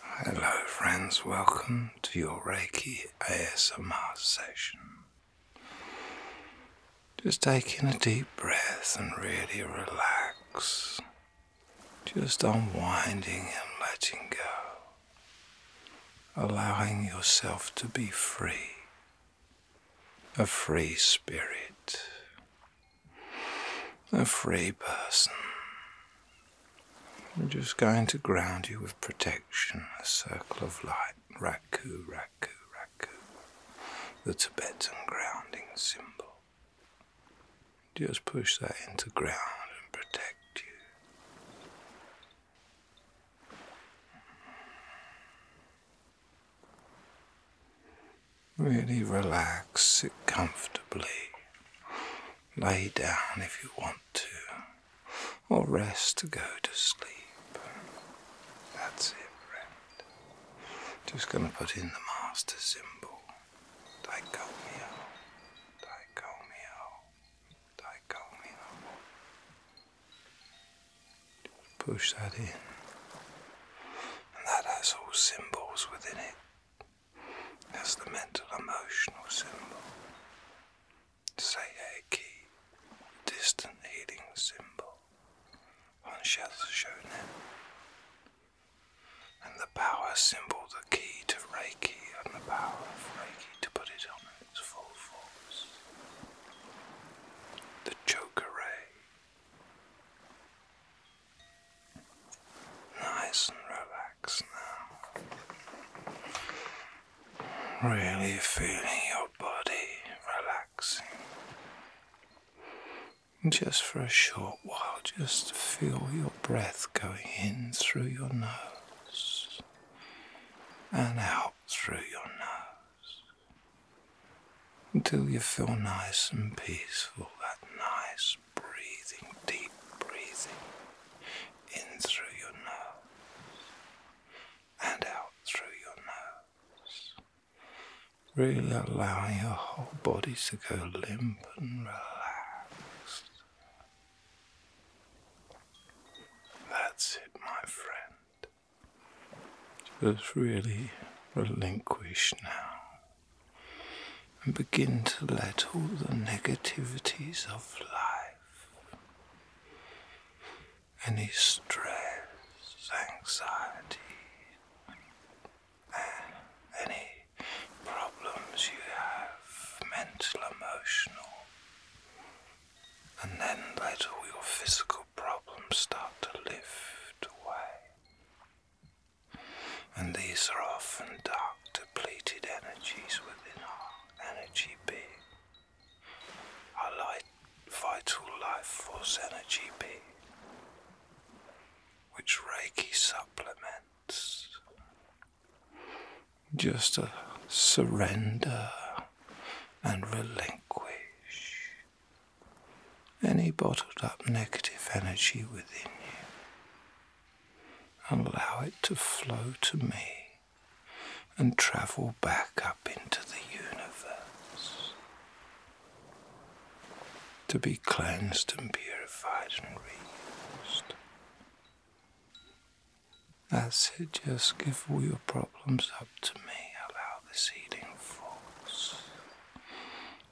Hello, friends, welcome to your Reiki ASMR session. Just taking a deep breath and really relax, just unwinding and letting go, allowing yourself to be free, a free spirit. A free person. We're just going to ground you with protection, a circle of light. Raku, Raku, Raku. The Tibetan grounding symbol. Just push that into ground and protect you. Really relax, sit comfortably, lay down if you want to, or rest to go to sleep. That's it, friend. Just going to put in the master symbol. Daikomio, daikomio, daikomio. Push that in and that has all symbols within it. That's the mental emotional symbol. say a key, distant healing symbol on Shashonen. And the power symbol, the key to Reiki, and the power of Reiki to put it on its full force. The choker ray. Nice and relaxed now. Really feeling your body relaxing. Just for a short while, just feel your breath going in through your nose and out through your nose until you feel nice and peaceful. That nice breathing, deep breathing in through your nose and out through your nose. Really allowing your whole body to go limp and relaxed. That's it, my friend. Just really relinquish now and begin to let all the negativities of life, any stress, anxiety, any problems you have, mental, emotional, and then let all your physical problems start to lift away and these are often dark, depleted energies within our energy being. Our light, vital life force energy being, which Reiki supplements. Just a surrender and relinquish any bottled up negative energy within you allow it to flow to me and travel back up into the universe to be cleansed and purified and reused. That's it, just give all your problems up to me. Allow this healing force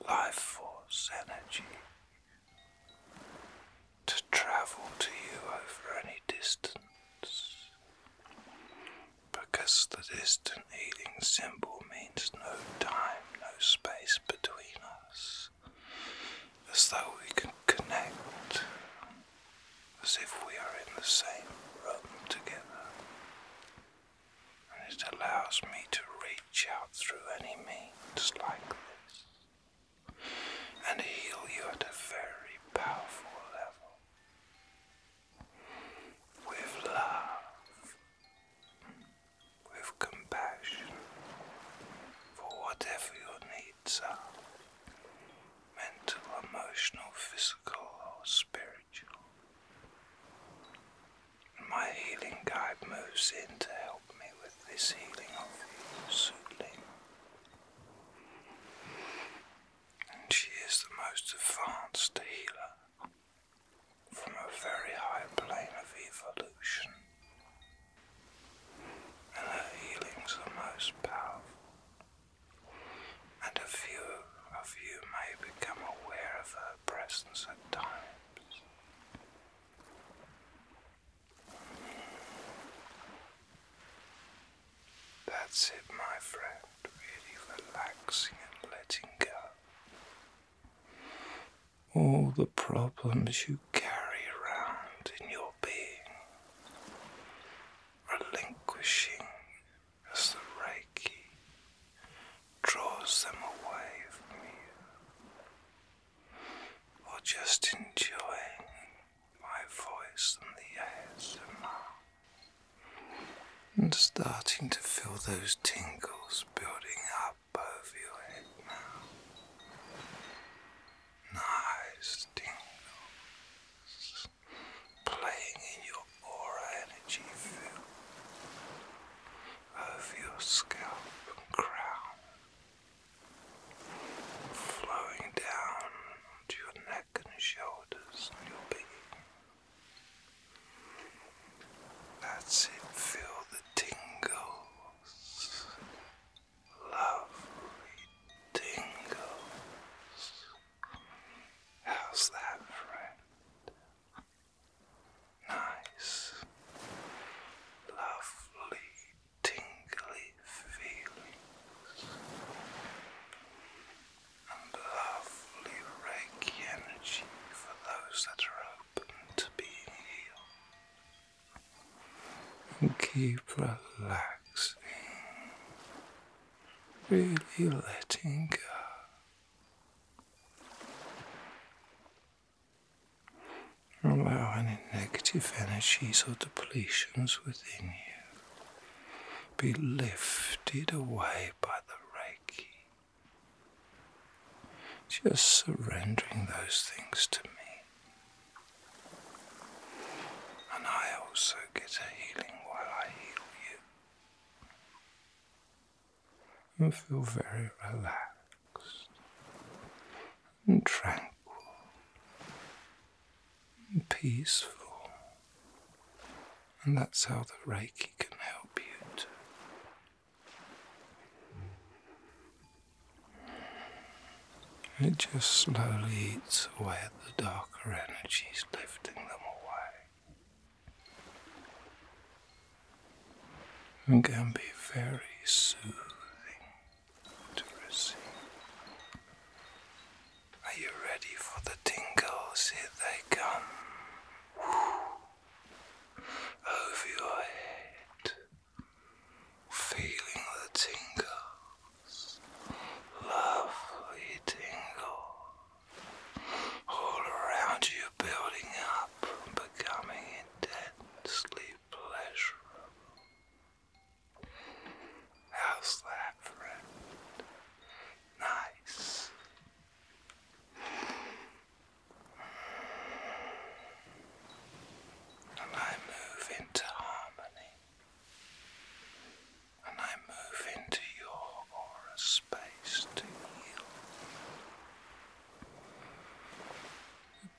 life force energy to travel to you over any distance because the distant healing symbol means no time, no space between us, as though we can connect as if we are in the same room together and it allows me to reach out through any means like this and heal you at a very powerful level with love, with compassion for whatever your needs are mental, emotional, physical, or spiritual. My healing guide moves in to help me with this healing of Sutling. And she is the most advanced healer from a very high plane of evolution. And her healings are most powerful. And a few of you may become aware of her presence at times. That's it, my friend, really relaxing and letting go. All the problems you carry around in your being, relinquishing as the Reiki draws them away from me, or just enjoying my voice and the ASMR, and starting to feel those tingles building up over your head now. Nice tingles playing in your aura energy field over your scalp and crown, flowing down to your neck and shoulders and your being. That's it, feel the tingles, lovely tingles. How's that, friend? nice, lovely, tingly feelings and lovely Reiki energy for those that are open to being healed. And keep relaxing, really letting go. Allow any negative energies or depletions within you be lifted away by the Reiki. Just surrendering those things to me. And I also get a healing while I heal you you feel very relaxed and tranquil and peaceful. And that's how the Reiki can help you It just slowly eats away at the darker energies, lifting them away can be very soothing to receive. Are you ready for the tingles? Here they come. Over your head, feeling the tingles, lovely tingle all around you building up and becoming intensely pleasurable. How's that, friend? Nice. And I move into harmony. And I move into your aura space to heal.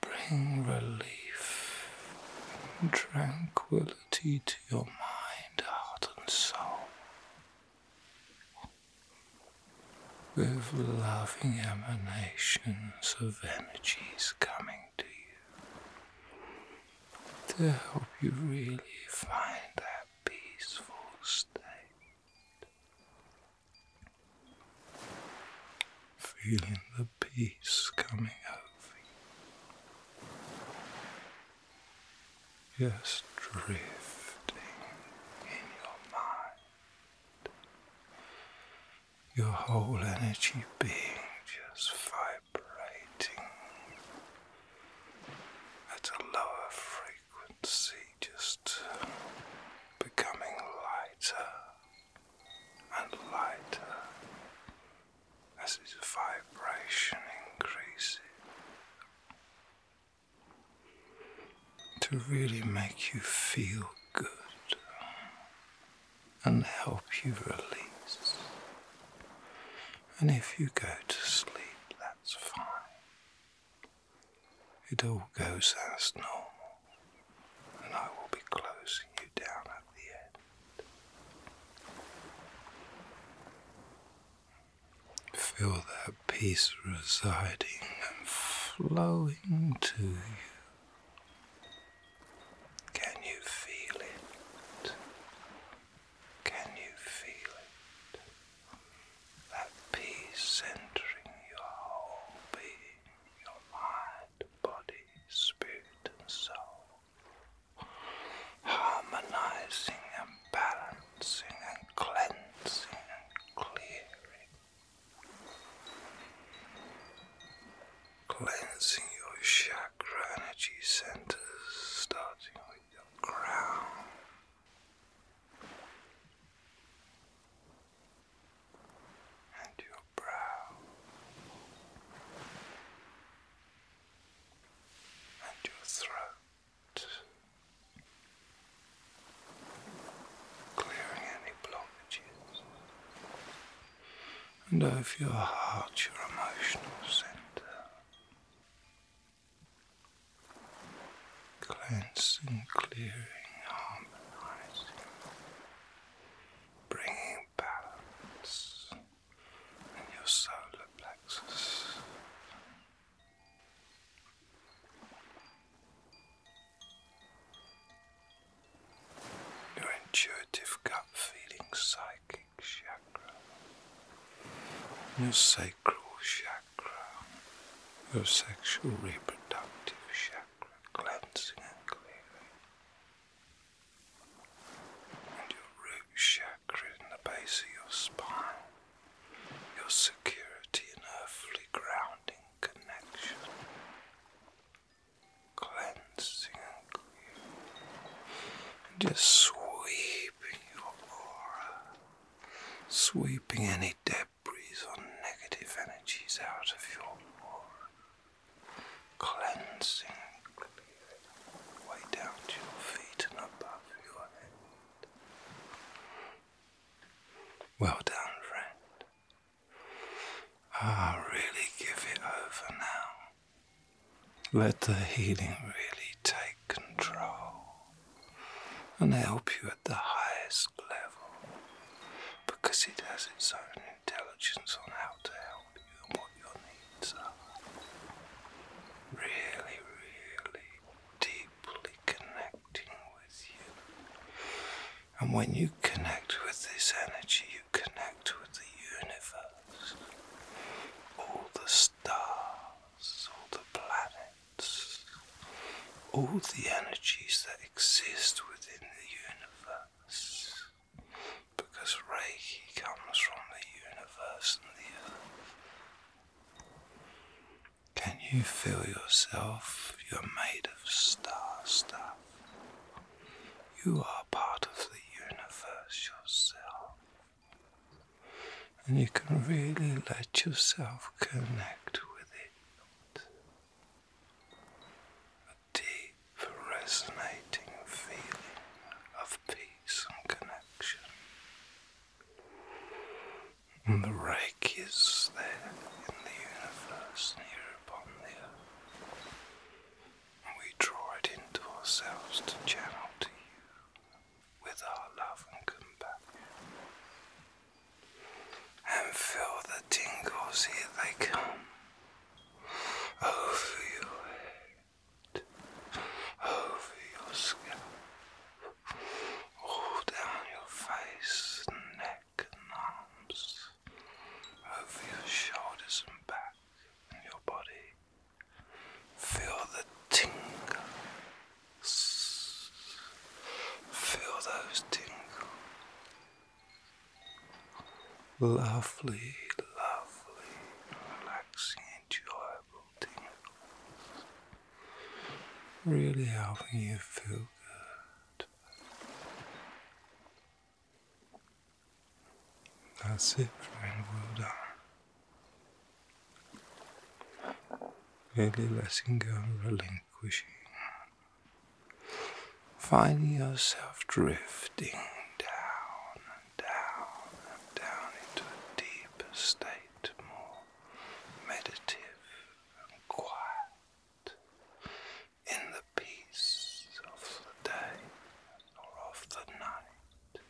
Bring relief tranquility to your mind, heart, and soul with loving emanations of energies coming to you to help you really find that peaceful state. Feeling the peace coming over you. Just drifting in your mind. Your whole energy being just vibrating at a lower frequency frequency just uh, becoming lighter and lighter as its vibration increases to really make you feel good and help you release. And if you go to sleep, that's fine. It all goes as normal, and I will be closing you down at the end. Feel that peace residing and flowing to you. Can you feel it? Can you feel it? That peace entering your whole being, your mind, body, spirit, and soul, harmonizing and balancing and cleansing and clearing, cleansing your chakra energy centers, starting with your crown and your brow and your throat, clearing any blockages, and over your heart, your emotional center cleansing, clearing, harmonizing, bringing balance in your solar plexus. Your intuitive gut feeling psychic chakra, your sacral chakra your sexual reproductive chakra, cleansing and clearing, and your root chakra in the base of your spine, your security and earthly grounding connection, cleansing and clearing, just sweeping your aura, sweeping any debris breathe all negative energies out of your aura, cleansing way down to your feet and above your head. Well done, friend. Ah, really give it over now. Let the healing really take control and help you at the highest level because it has its own intelligence on how to help you and what your needs are. Really, really deeply connecting with you. And when you connect with this energy, you connect with the universe, all the stars, all the planets all the energies that exist within the universe. Because Reiki comes from the universe and the earth. Can you feel yourself? You're made of star stuff. You are part of the universe yourself. And you can really let yourself connect with it a deep, resonating feeling of peace and connection. And the Reiki is there in the universe and here upon the earth. And we draw it into ourselves to channel to you with our love and compassion and feel the tingles here they come over your head, over your scalp, all down your face, neck and arms, over your shoulders and back and your body. Feel the tingle Feel those tingle. Lovely, lovely, relaxing, enjoyable tingle. Really helping you feel good. That's it, friend. Well done. really letting go and languishing. Finding yourself drifting down down down into a deeper state, more meditative and quiet, in the peace of the day or of the night.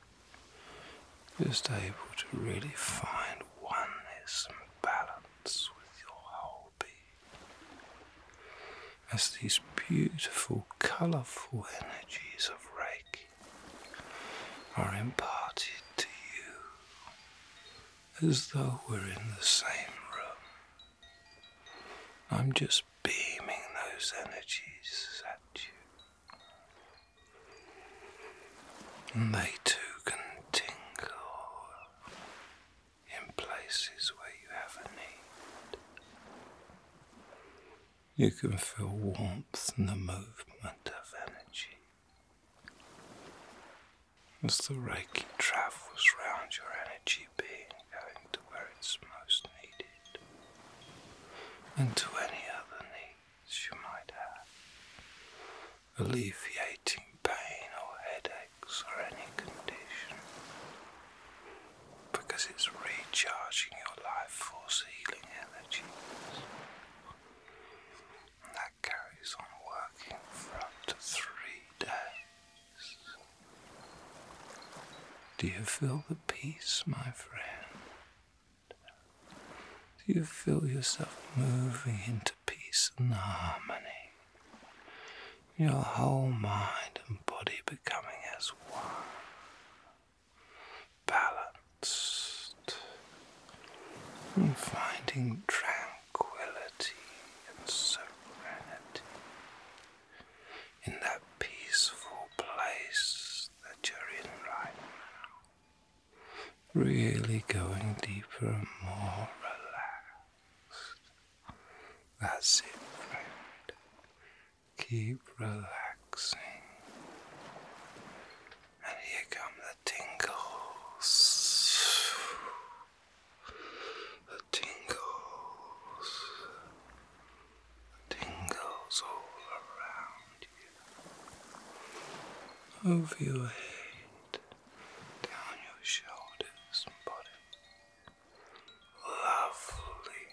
Just able to really find oneness and balance with your whole As these beautiful, colourful energies of Reiki are imparted to you as though we're in the same room. I'm just beaming those energies at you. And they too can you can feel warmth in the movement of energy as the Reiki travels round your energy being, going to where it's most needed and to any other needs you might have alleviating pain or headaches or any condition because it's recharging your life force healing energies. And that carries on working for up to three days. Do you feel the peace, my friend? Do you feel yourself moving into peace and harmony, your whole mind and body becoming as one, balanced, finding tranquility and serenity in that peaceful place that you're in right now. Really going deeper more relaxed. That's it, friend. Keep relaxing. And here come the tingles. The tingles. The tingles all around you. Over your head down your shoulders body. Lovely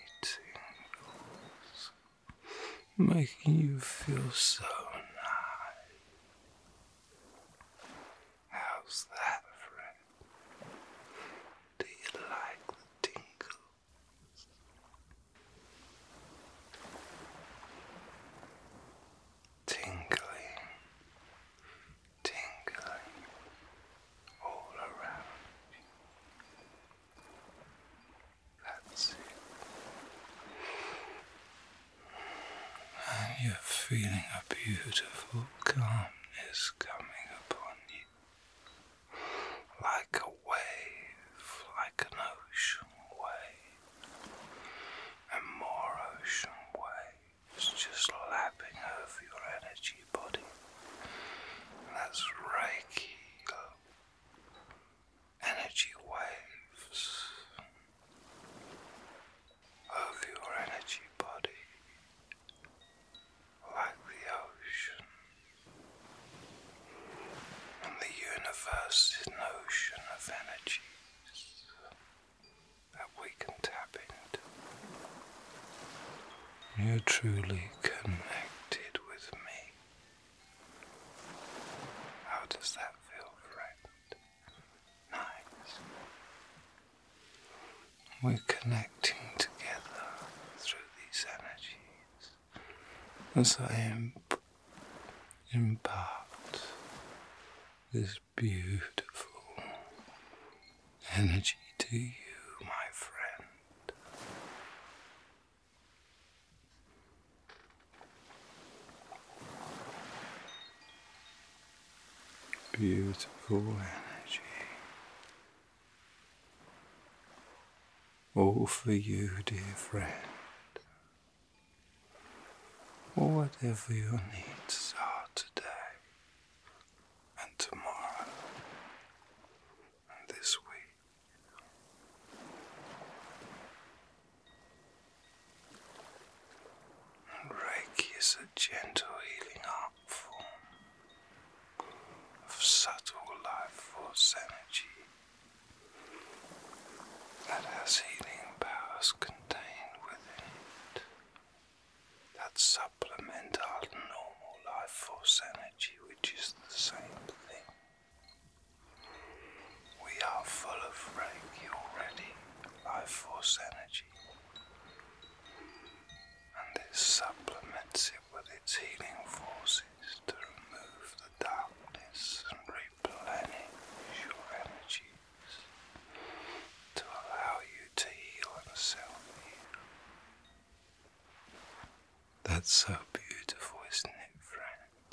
tingles, making you feel so nice. How's that, friend? Do you like the tingles? tingling, tingling all around you. That's it. And you're feeling a beautiful calmness coming upon you. Like a wave, like an ocean wave and more ocean waves just lapping over your energy body. that's Reiki energy waves over your energy body like the ocean. And the universe is an ocean of energy that we can tap into. You're truly connected with me. How does that feel, friend? Nice. We're connecting together through these energies as I impart this beautiful. Energy to you, my friend. Beautiful energy. All for you, dear friend whatever your needs are today and tomorrow and this week. Reiki is a gentle healing art form of subtle life force energy that has healing powers contained within it that supplement our normal life force energy, which is the same thing. We are full of Reiki already, life force energy, and this supplements it with its healing forces to remove the darkness and replenish your energy to allow you to heal yourself. That's so beautiful, isn't it, friend?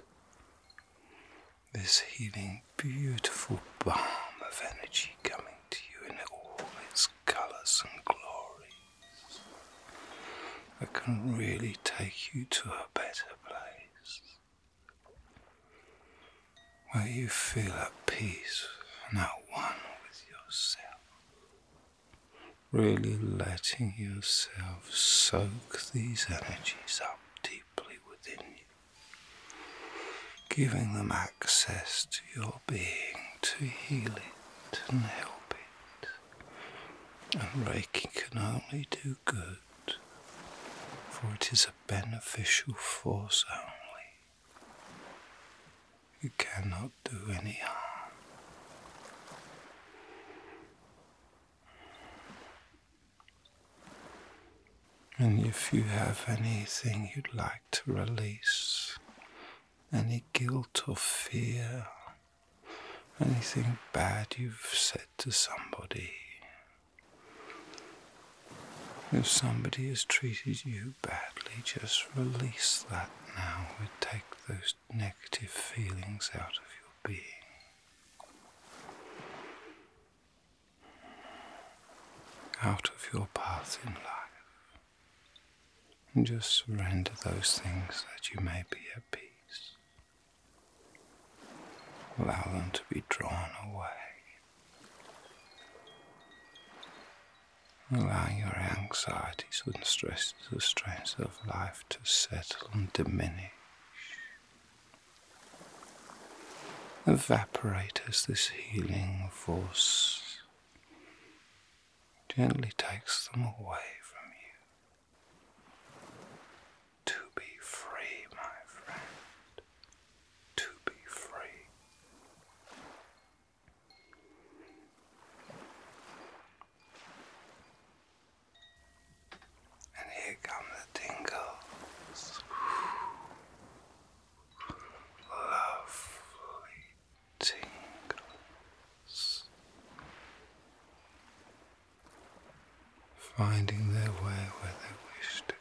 This healing, beautiful balm of energy coming to you in all its colours and glories. That can really take you to a better place where you feel at peace and one with yourself, really letting yourself soak these energies up deeply within you, giving them access to your being to heal it and help it. And Reiki can only do good, for it is a beneficial force only. You cannot do any harm. And if you have anything you'd like to release, any guilt or fear, anything bad you've said to somebody, if somebody has treated you badly, just release that now. We take those negative feelings out of your being. Out of your path in life. And just surrender those things that you may be at peace. Allow them to be drawn away. Allow your anxieties and stresses the stress of life to settle and diminish. Evaporate as this healing force gently takes them away from you. To be free, my friend. To be free. And here come the tingles. Lovely tingles finding their way where they wish to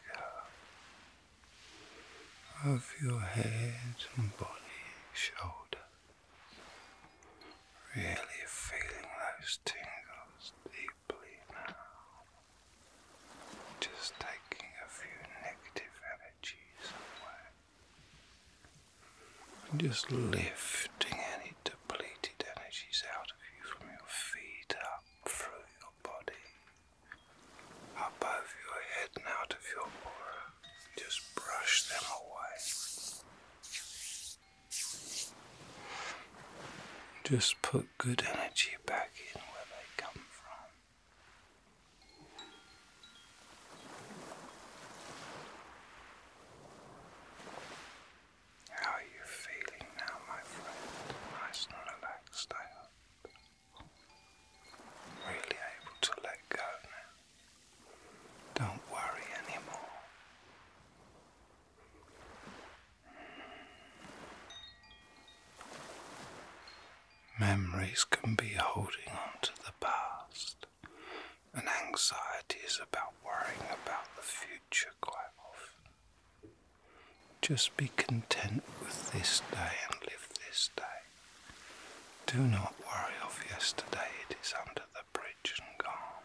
go. Of your head and body, shoulder, really feeling those tingles deeply now. Just taking a few negative energies away. just lifting any depleted energies out of you from your feet up through your body, above your head and out of your aura. Just brush them away. Just put good energy back in where they come from. How are you feeling now, my friend? Nice and relaxed, I hope. Really able to let go now. Don't worry anymore. Memories can be holding on to the past, and anxiety is about worrying about the future quite often. Just be content with this day and live this day. Do not worry of yesterday, it is under the bridge and gone,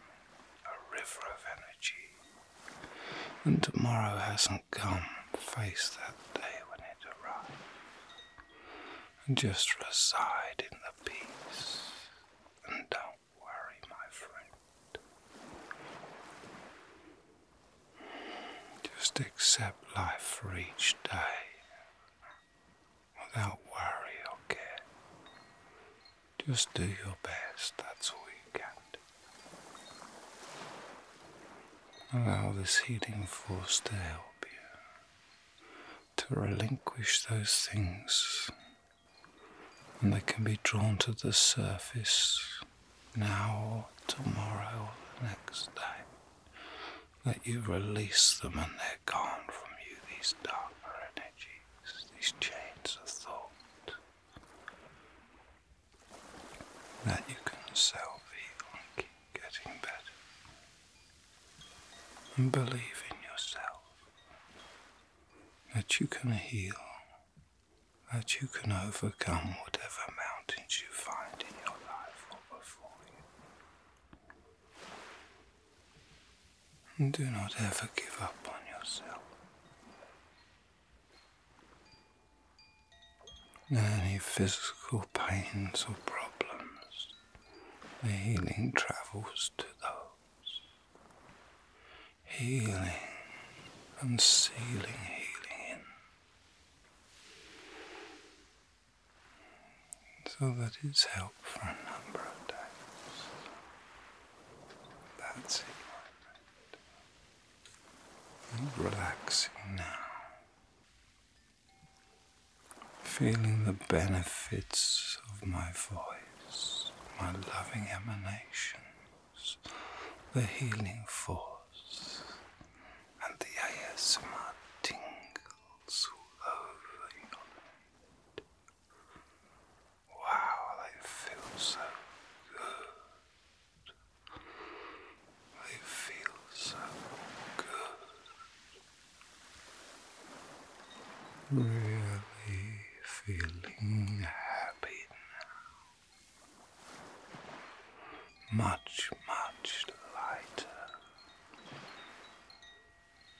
a river of energy. And tomorrow hasn't come, face that day when it arrives. And just reside in the peace and don't worry, my friend. Just accept life for each day without worry or care. Just do your best, that's all you can do. Allow this healing force to help you to relinquish those things and they can be drawn to the surface now or tomorrow or next day, that you release them and they're gone from you, these darker energies, these chains of thought, that you can self heal and keep getting better, and believe in yourself that you can heal that you can overcome whatever mountains you find in your life or before you. do not ever give up on yourself. Any physical pains or problems, the healing travels to those healing and sealing healing So that it's helped for a number of days. That's it, relaxing now. Feeling the benefits of my voice, my loving emanation the healing force, and the ASMR tingles all over your head. Wow, they feel so good. They feel so good. Really feeling happy now much, much lighter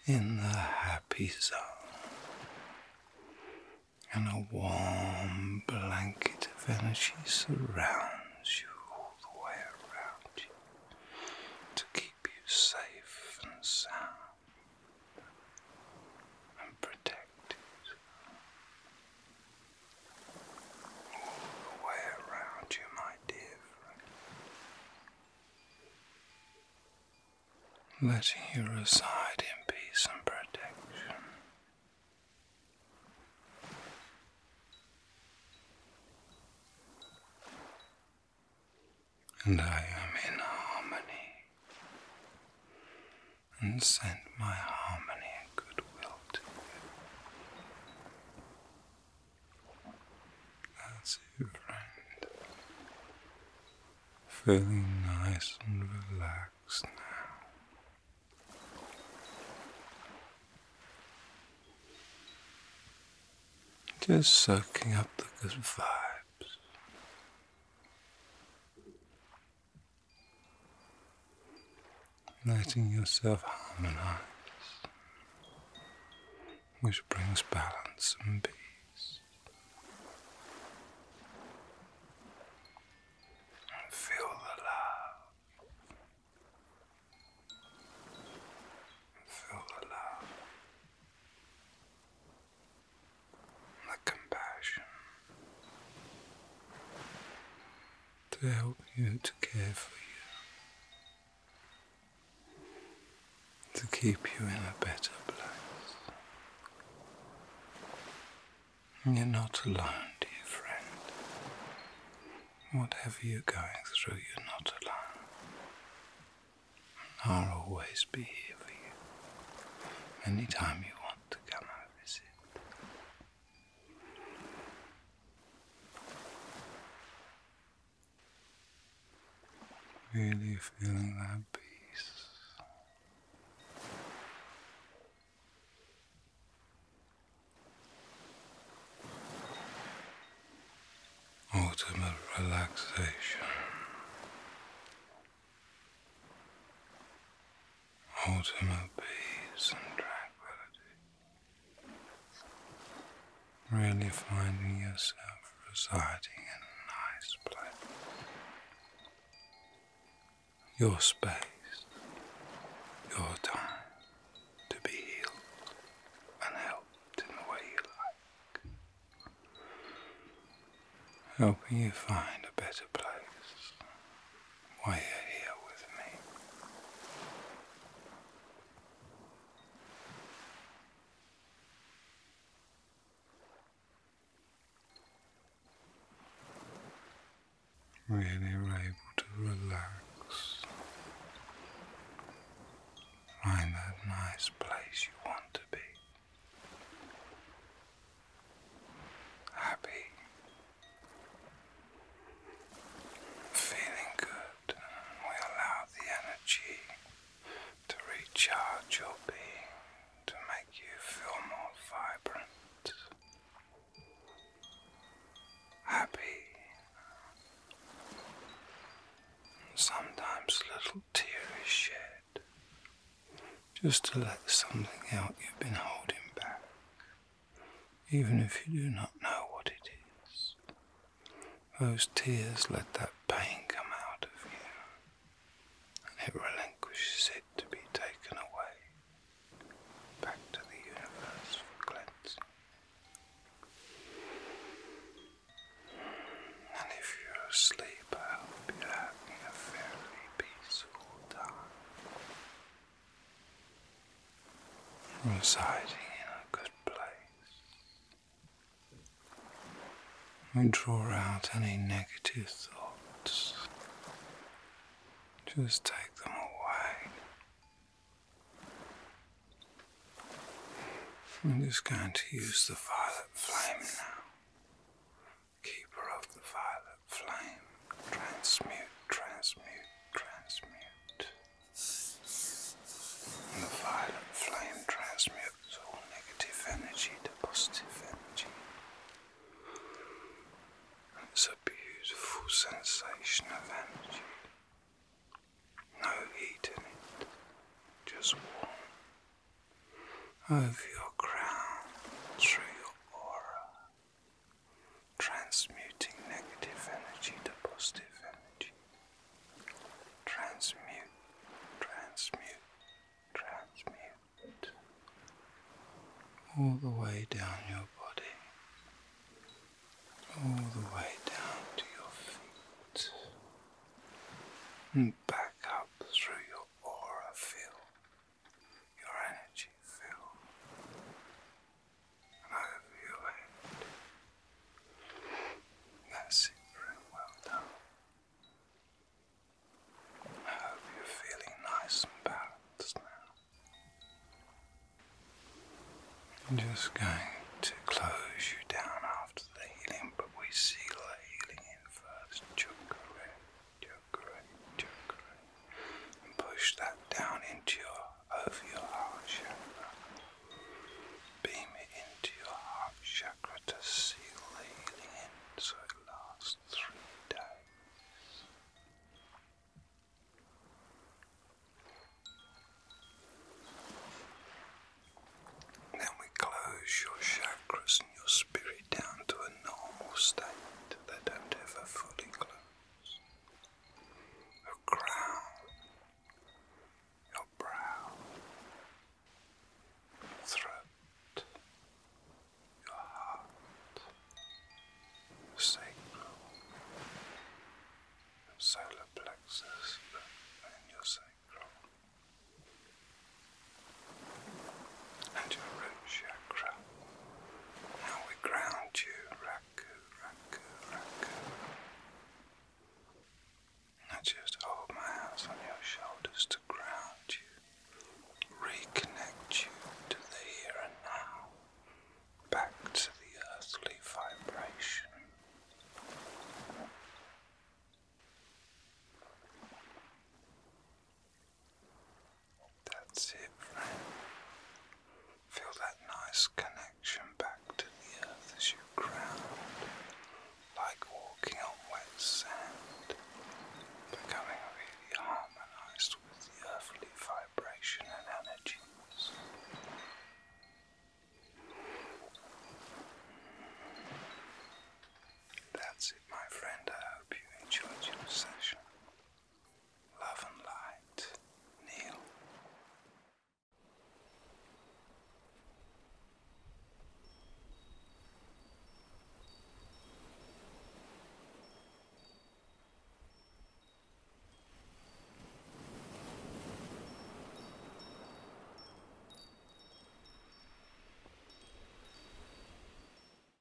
in the happy zone and a warm blanket of energy surrounds you all the way around to keep you safe and sound and protected all the way around you, my dear friend, letting you reside in peace and protection. And I am in harmony and send my harmony and goodwill to you. That's it, friend. Feeling nice and relaxed now. Just soaking up the good vibes letting yourself harmonize, which brings balance and peace. And feel the love. Feel the love. The compassion to help you to care for you, to keep you in a better place. You're not alone, dear friend. Whatever you're going through, you're not alone. I'll always be here for you anytime you want to come and visit. Really feeling that peace. Ultimate relaxation ultimate peace and tranquility, really finding yourself residing in a nice place, your space, your time to be healed and helped in the way you like, helping you find a better place why you're here with me. Really, able to relax, find that nice place you want to be happy, feeling good, we allow the energy to recharge your being to make you feel more vibrant, happy. Sometimes little tears shed just to let something out you've been holding back, even if you do not know what it is. Those tears let that pain come out of you, and it relinquishes it to be taken away back to the universe for cleansing. And if you're asleep, I hope you're having a very peaceful time residing in a good place. We draw out any negative thoughts, just take them away. I'm just going to use the violet flame now keeper of the violet flame, transmute, transmute, transmute. the violet flame transmutes all negative energy to positive energy. it's a beautiful sensation of energy. No heat in it, just warm. Over your crown, through your aura, transmuting negative energy to positive energy. Transmute, transmute, transmute. All the way down your body, all the way down to your feet, and back up through your aura field your energy fill and over your head. That's it, friend. Well done. I hope you're feeling nice and balanced now. I'm just going to close you down after the healing, but we seal the healing in first. Chakra, and push that down into your over your heart chakra. Beam it into your heart chakra to seal the healing in, so it lasts three days. Then we close your chakras and your spirit down to a normal state they don't ever fully close. Your crown, your brow, throat, your heart, the your solar plexus, and your sacral and your root chakra. Now we ground you, Raku, Raku, Raku. Now just hold my hands on your shoulders to ground you, reconnect you to the here and now, back to the earthly vibration. That's it, friend. Feel that nice connection back to the earth as you ground, like walking on wet sand, becoming really harmonized with the earthly vibration and energies. That's it, my friend. I hope you enjoyed your session. Love and Light, Neil.